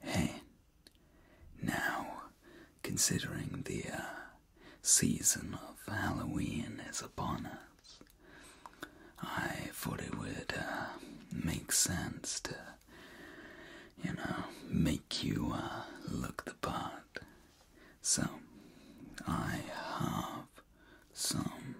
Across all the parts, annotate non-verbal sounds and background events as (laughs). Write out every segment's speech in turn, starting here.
Hen. Now, considering the uh, season of Halloween is upon us, I thought it would uh, make sense to, you know, make you uh, look the part. So, I have some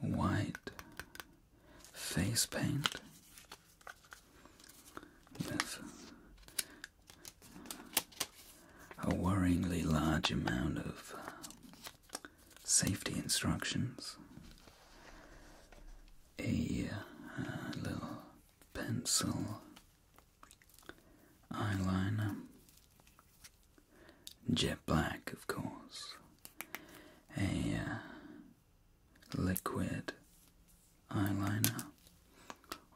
white face paint with a worryingly large amount of safety instructions, a, uh, little pencil eyeliner, jet black, of course, a uh, liquid eyeliner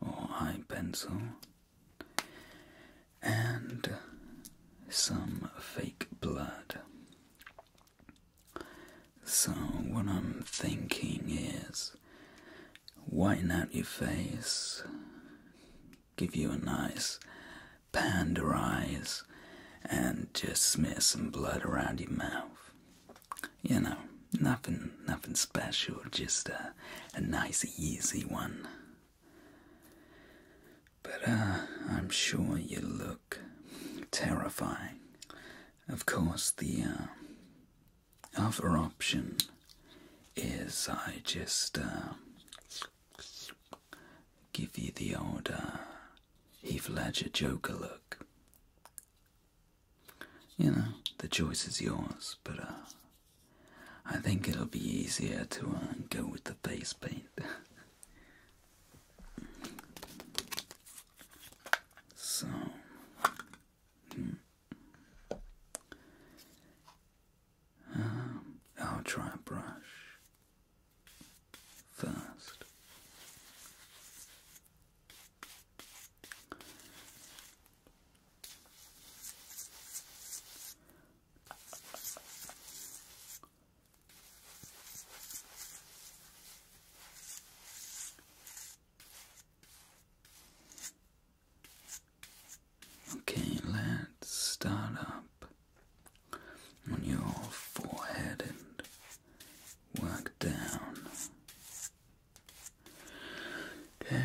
or eye pencil and some fake blood. So, what I'm thinking is whiten out your face, give you a nice panda eyes and just smear some blood around your mouth. You know, nothing, nothing special, just a, nice, easy one. But uh, I'm sure you look terrifying. Of course, the uh, other option is I just uh, give you the order. Heath Ledger Joker look. You know, the choice is yours, but uh, I think it'll be easier to uh, go with the face paint. (laughs) so, hmm. um, I'll try a brush first. Okay, let's start up on your forehead and work down. Okay.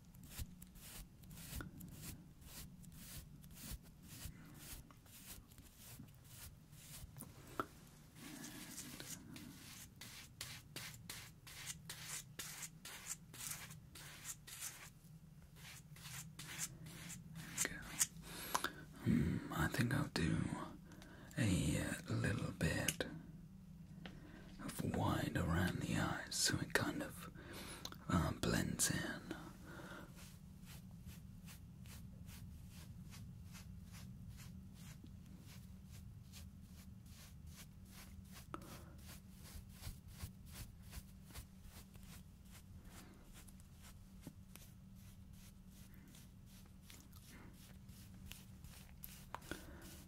Hmm, I think I'll do a uh, little bit of white around the eyes, so it kind of um, blends in.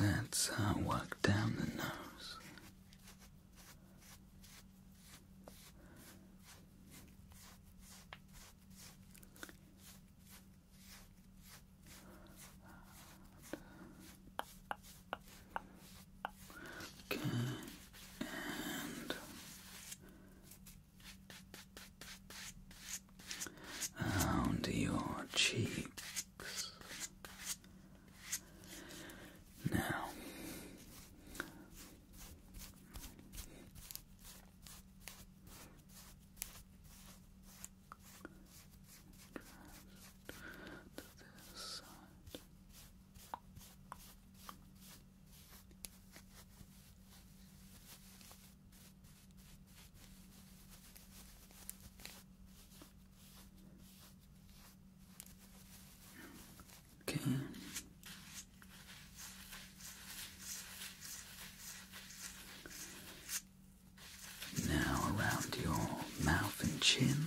Let's uh, walk down the nose. Okay, and around your cheeks. Now, to this side. Okay. Now around your mouth and chin,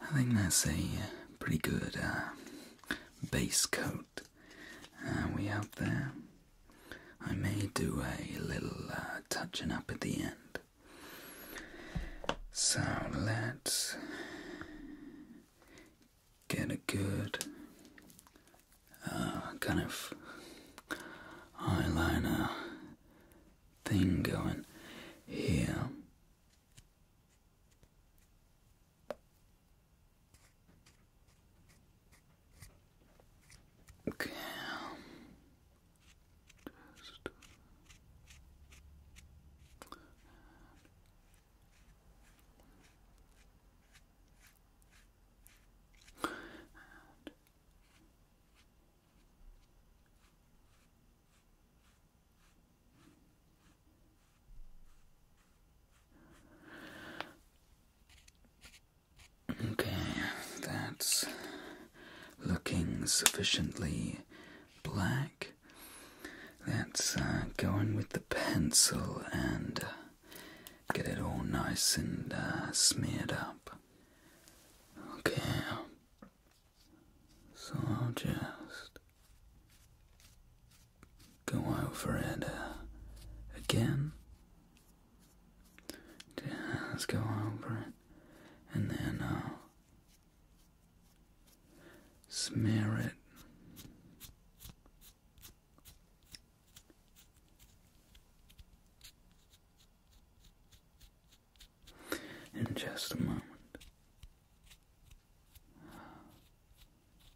I think that's a uh, pretty good uh, base coat uh, we have there. I may do a little touching up at the end. So let's get a good kind of eyeliner thing going here. Okay. Just. And. Okay, that's looking sufficiently black. Let's uh, go in with the pencil and uh, get it all nice and uh, smeared up. Okay, so I'll just go over it uh, again. Let's go over it and then uh, smear it. In just a moment.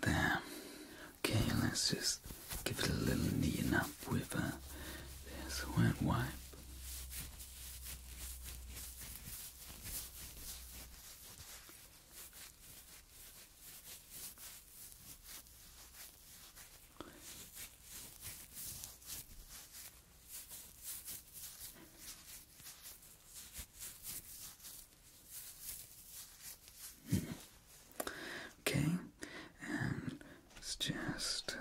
there. Okay, let's just give it a little kneading up with uh, a this wet wipe. Okay, let's just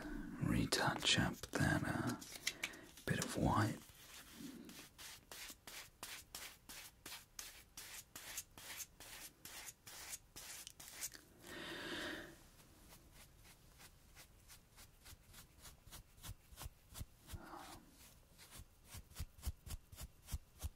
retouch up that uh, bit of white.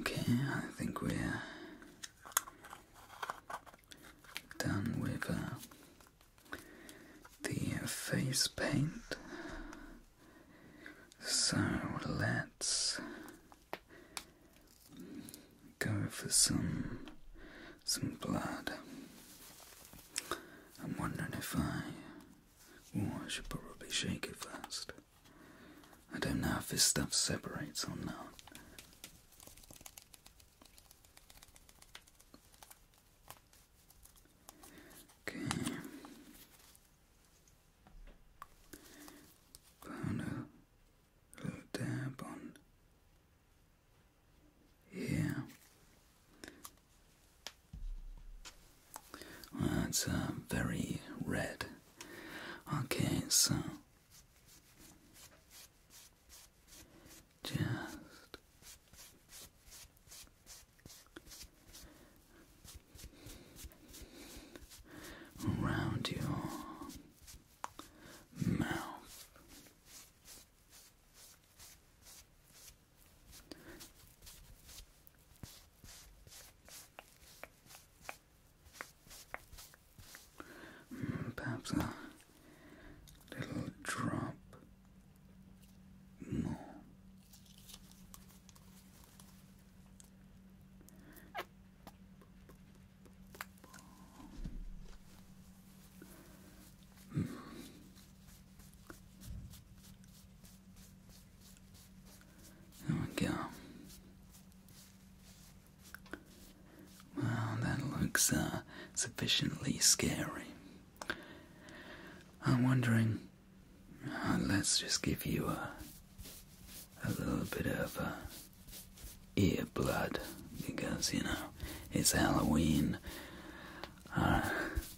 Okay, I think we're done with uh, the face paint. So let's go for some some blood. I'm wondering if I I should probably shake it first. I don't know if this stuff separates or not. Okay. Put a dab on here. Well, very red. Okay, so just around your mouth. Perhaps uh, little drop more. Mm. There we go. Well, that looks uh, sufficiently scary. I'm wondering, uh, let's just give you a, a little bit of uh, ear blood because, you know, it's Halloween. Uh,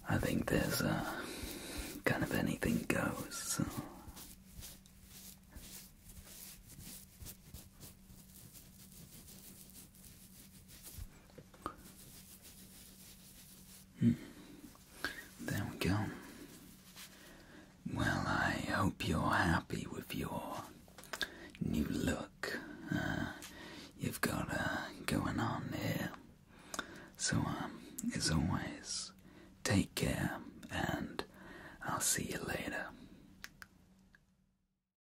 I think there's a kind of anything goes. Hmm. There we go. Well, I hope you're happy with your new look uh, you've got uh, going on here. So, um, as always, take care, and I'll see you later.